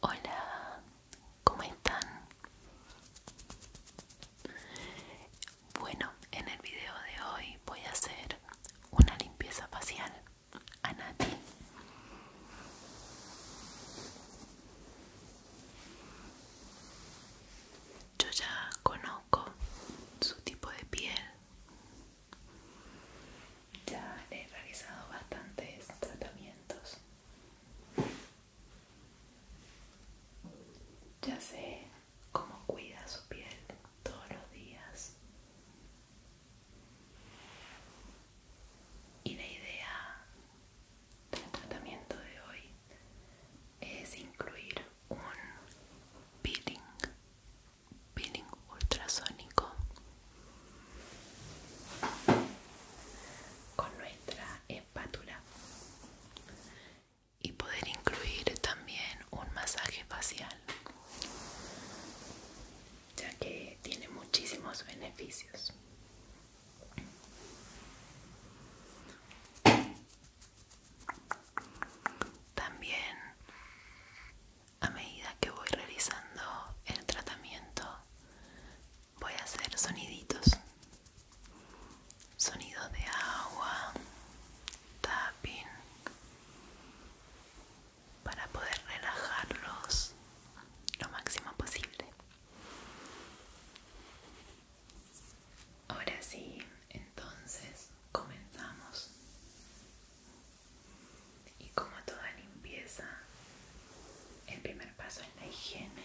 Hola, ¿cómo están? Bueno, en el video de hoy voy a hacer una limpieza facial a Nati. Yo ya conozco su tipo de piel. Ya he realizado bastantes tratamientos. Ya sé cómo cuida su piel todos los días. Y la idea el tratamiento de hoy es incluir un peeling, peeling ultrasónico con nuestra espátula y poder incluir también un masaje facial ya que tiene muchísimos beneficios también a medida que voy realizando el tratamiento voy a hacer soniditos. Sonidos de agua, tapping, para poder relajarlos lo máximo posible. Ahora sí, entonces comenzamos. Y como toda limpieza, el primer paso es la higiene.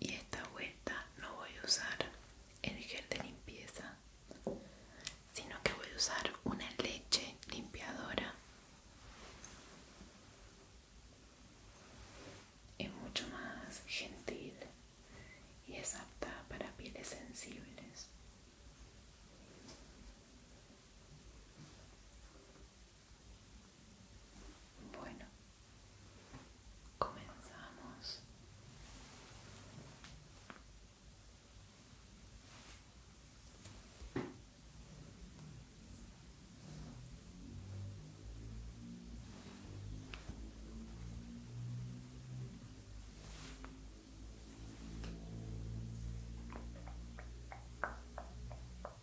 y esta vuelta no voy a usar el gel de limpieza sino que voy a usar una leche limpiadora es mucho más gentil y es apta para pieles sensibles bueno, comenzamos.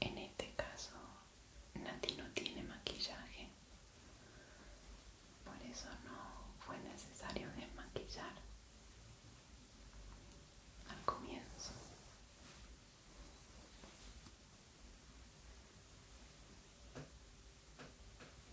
En este caso, Nati no tiene maquillaje, por eso no fue necesario desmaquillar al comienzo.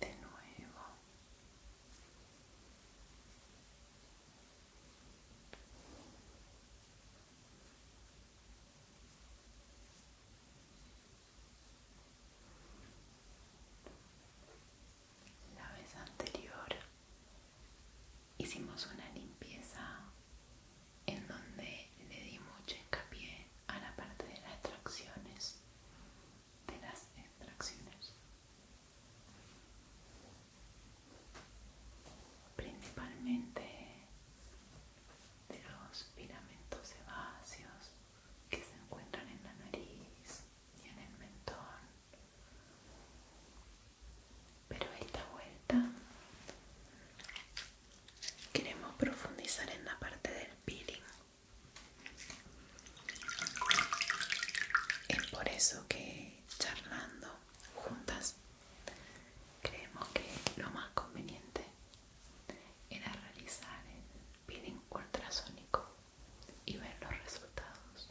de nuevo la vez anterior hicimos una limpieza en donde le di mucho hincapié a la parte de las extracciones, de las extracciones. Principalmente de los filamentos sebáceos que se encuentran en la nariz y en el mentón. Pero esta vuelta queremos profundizar en la parte del peeling es por eso que charlando juntas creemos que lo más conveniente era realizar el peeling ultrasonico y ver los resultados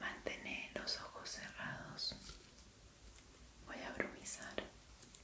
Mantener los ojos cerrados. Voy a bromizar.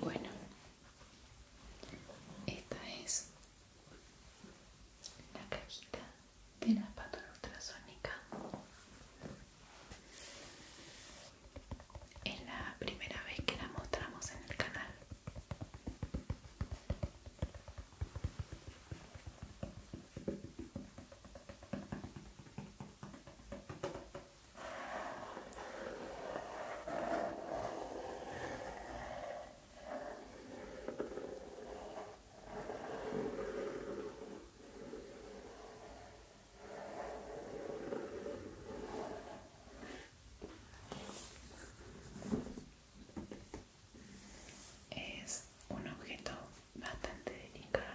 Bueno, esta es la cajita de la espátula ultrasónica es la primera vez que la mostramos en el canal. Es un objeto bastante delicado.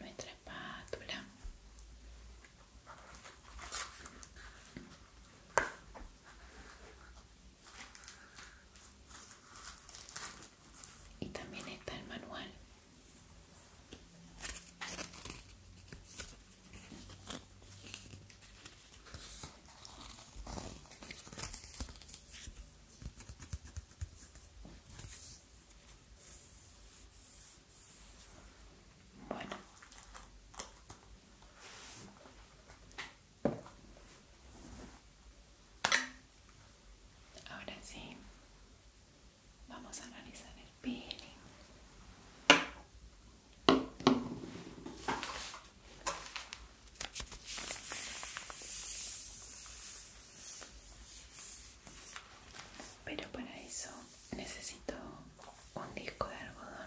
nuestra espátula y también está el manual bueno. Ahora sí, vamos a analizar el peeling pero para eso necesito un disco de algodón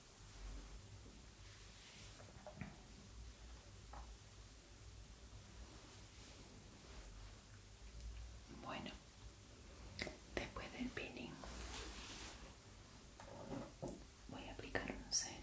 Bueno, después del peeling voy a aplicar un serum.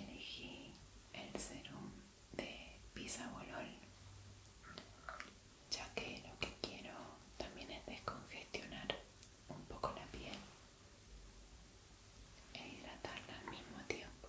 Elegí el serum de volol, ya que lo que quiero también es descongestionar un poco la piel e hidratarla al mismo tiempo.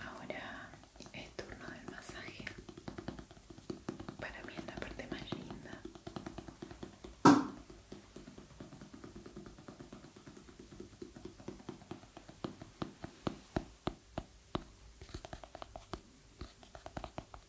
Ahora es turno del masaje. Para mí es la parte más linda.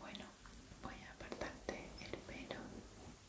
Bueno, voy a apartarte el pelo.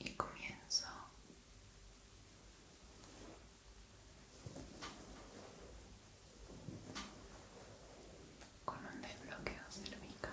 y comienzo con un desbloqueo cervical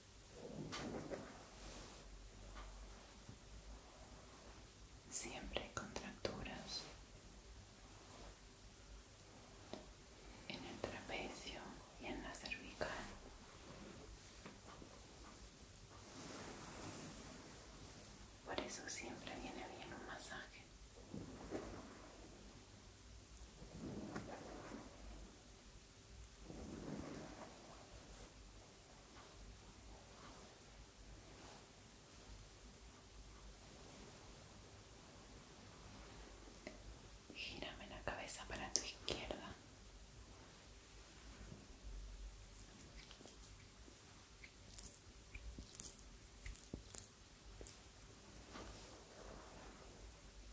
Siempre contracturas en el trapecio y en la cervical. Por eso siempre viene bien un masaje. Gírame la cabeza para tu izquierda.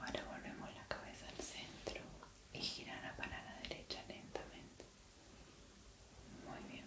Ahora volvemos la cabeza al centro y girar para la derecha lentamente. Muy bien.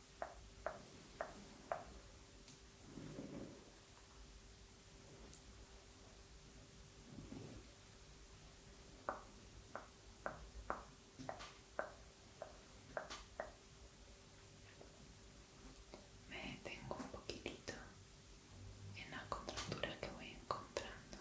Me tengo un poquitito en la contracturas que voy encontrando.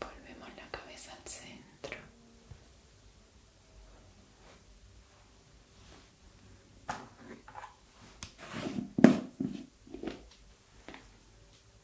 Volvemos la cabeza al centro.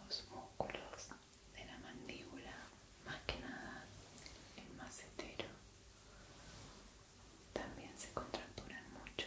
los músculos de la mandíbula más que nada el macetero también se contracturan mucho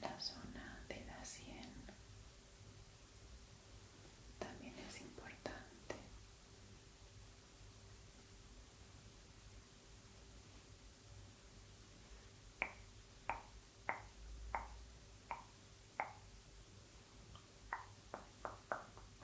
la zona de la cien también es importante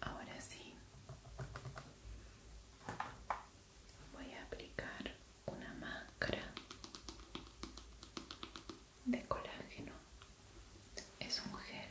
Ahora sí, voy a aplicar una máscara de colágeno. Es un gel.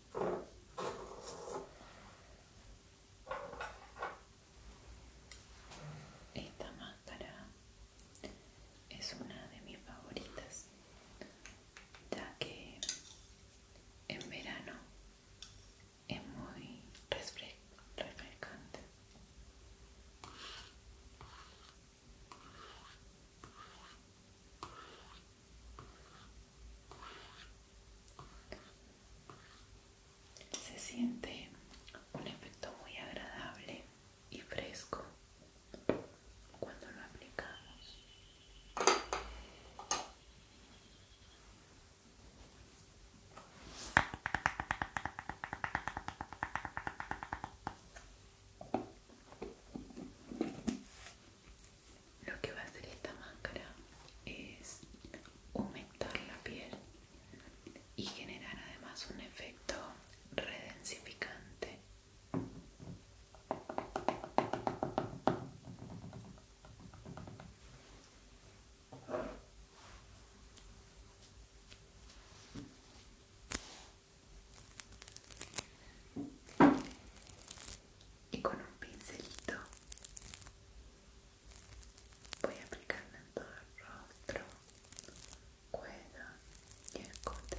Esta máscara es una de mis favoritas, ya que en verano es muy refrescante. Se siente un efecto muy agradable y fresco cuando lo aplicamos lo que va a hacer esta máscara es aumentar la piel y generar además un efecto redensificante y con un pincelito voy a aplicarla en todo el rostro, cuello y el escote.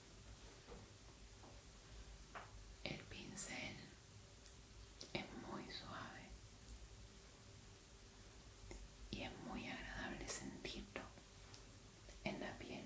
El pincel es muy suave y es muy agradable sentirlo en la piel.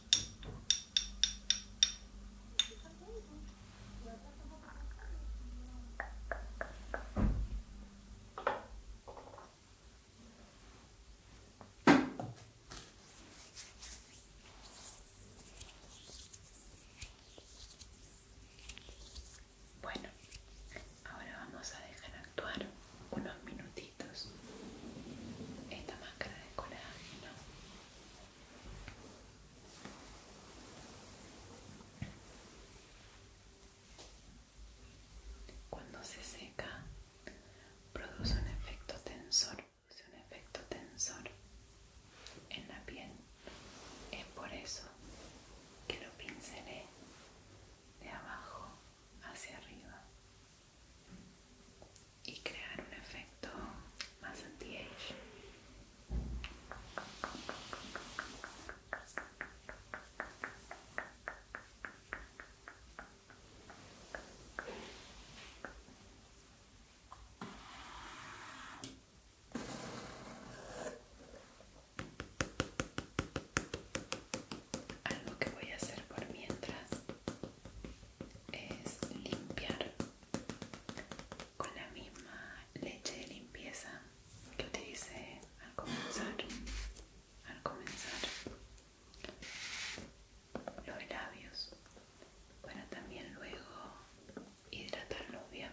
Bueno, ahora vamos a dejar actuar unos minutitos esta máscara de colágeno cuando se seca, produce un efecto tensor, produce un efecto tensor en la piel. Es por eso que lo pincelé de abajo hacia arriba y crear un efecto más anti-age. Algo que voy a hacer por mientras es limpiar con la misma leche de limpieza que utilicé al comenzar al comenzar los labios para también luego hidratarlos bien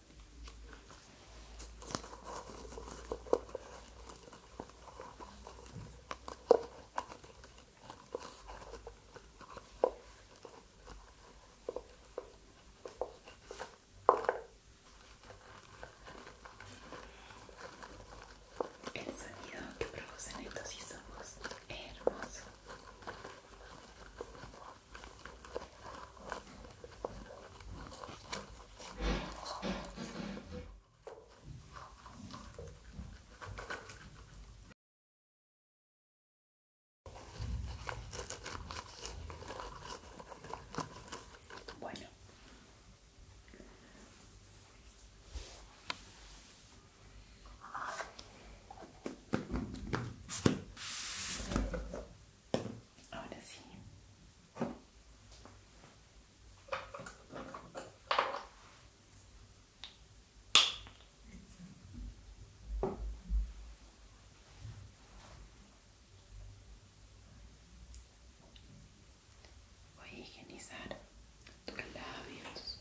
El sonido que producen estos insumos es hermoso. Bueno. Ahora sí, Voy a higienizar tus labios.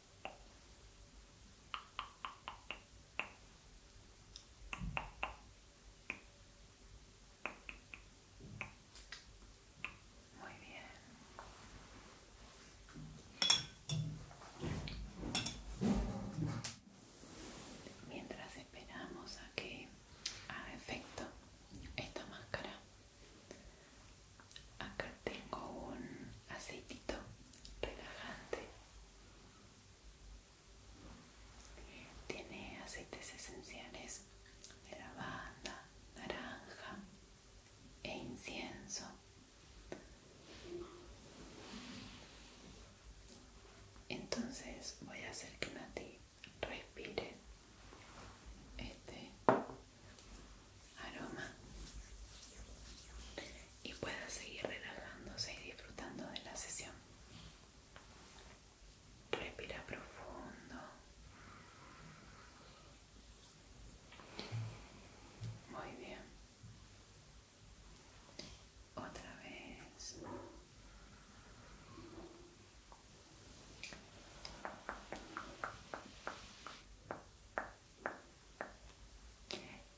Muy bien. Mientras esperamos a que haga efecto esta máscara, Acá tengo un aceitito relajante. Tiene aceites esenciales de lavanda, naranja e incienso. Entonces voy a hacer que Nati respire este aroma y pueda seguir relajándose y disfrutando de la sesión. Respira profundo. Muy bien. Otra vez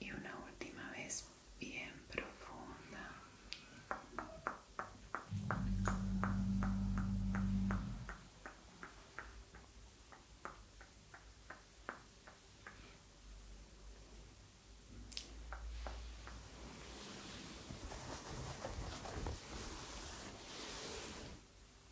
y una última vez bien profunda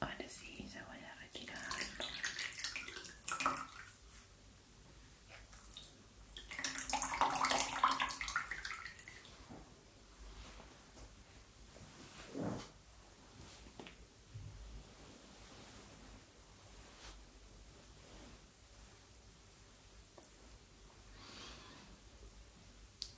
Ahora sí, ya voy a retirar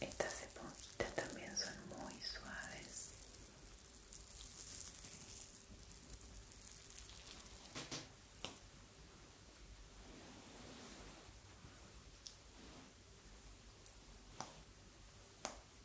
Estas esponjitas también son muy suaves.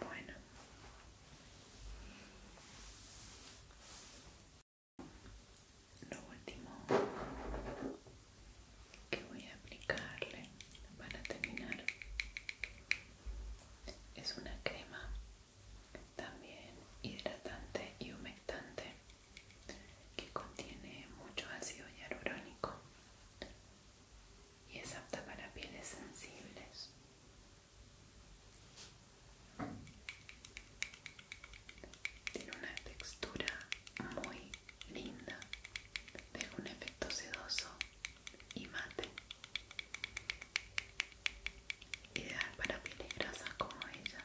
Bueno. Lo último que voy a aplicarle para terminar es una crema también hidratante y humectante que contiene mucho ácido hialurónico y es apta para pieles sensibles tiene una textura muy linda de un efecto sedoso y mate ideal para pieles grasas como ella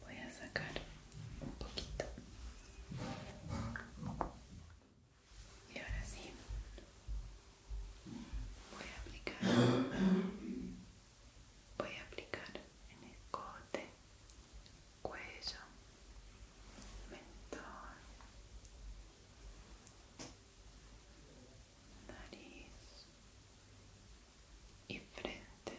Voy a sacar un poquito. Y ahora sí, voy a aplicar, voy a aplicar en el cote, cuello, mentón, nariz y frente.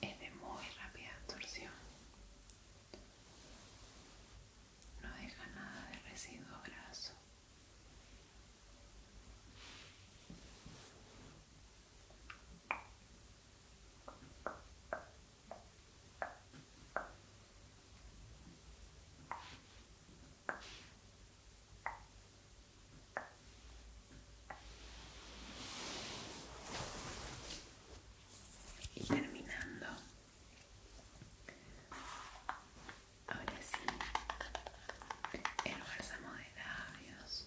es de muy rápida absorción no deja nada de residuo graso y terminando ahora sí el bálsamo de labios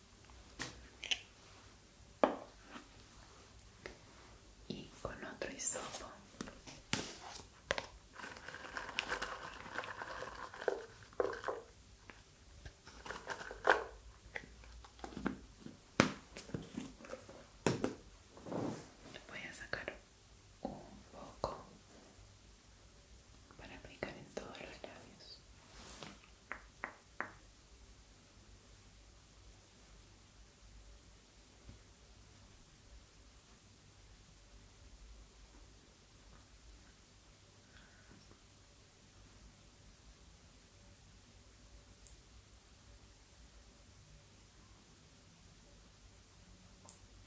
y con otro hisopo voy a sacar un poco para aplicar en todos los labios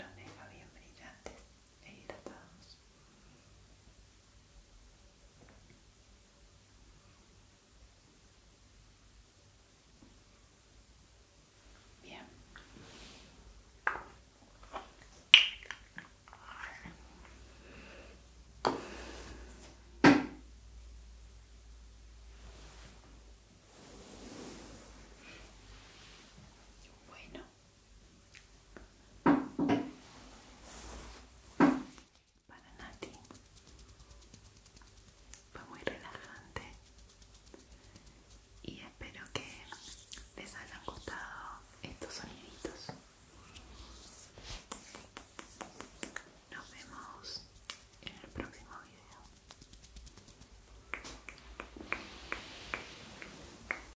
los deja bien brillantes e hidratados. Bien. Bueno para Nati. Fue muy relajante y espero que les hayan gustado estos soniditos. Nos vemos en el próximo video.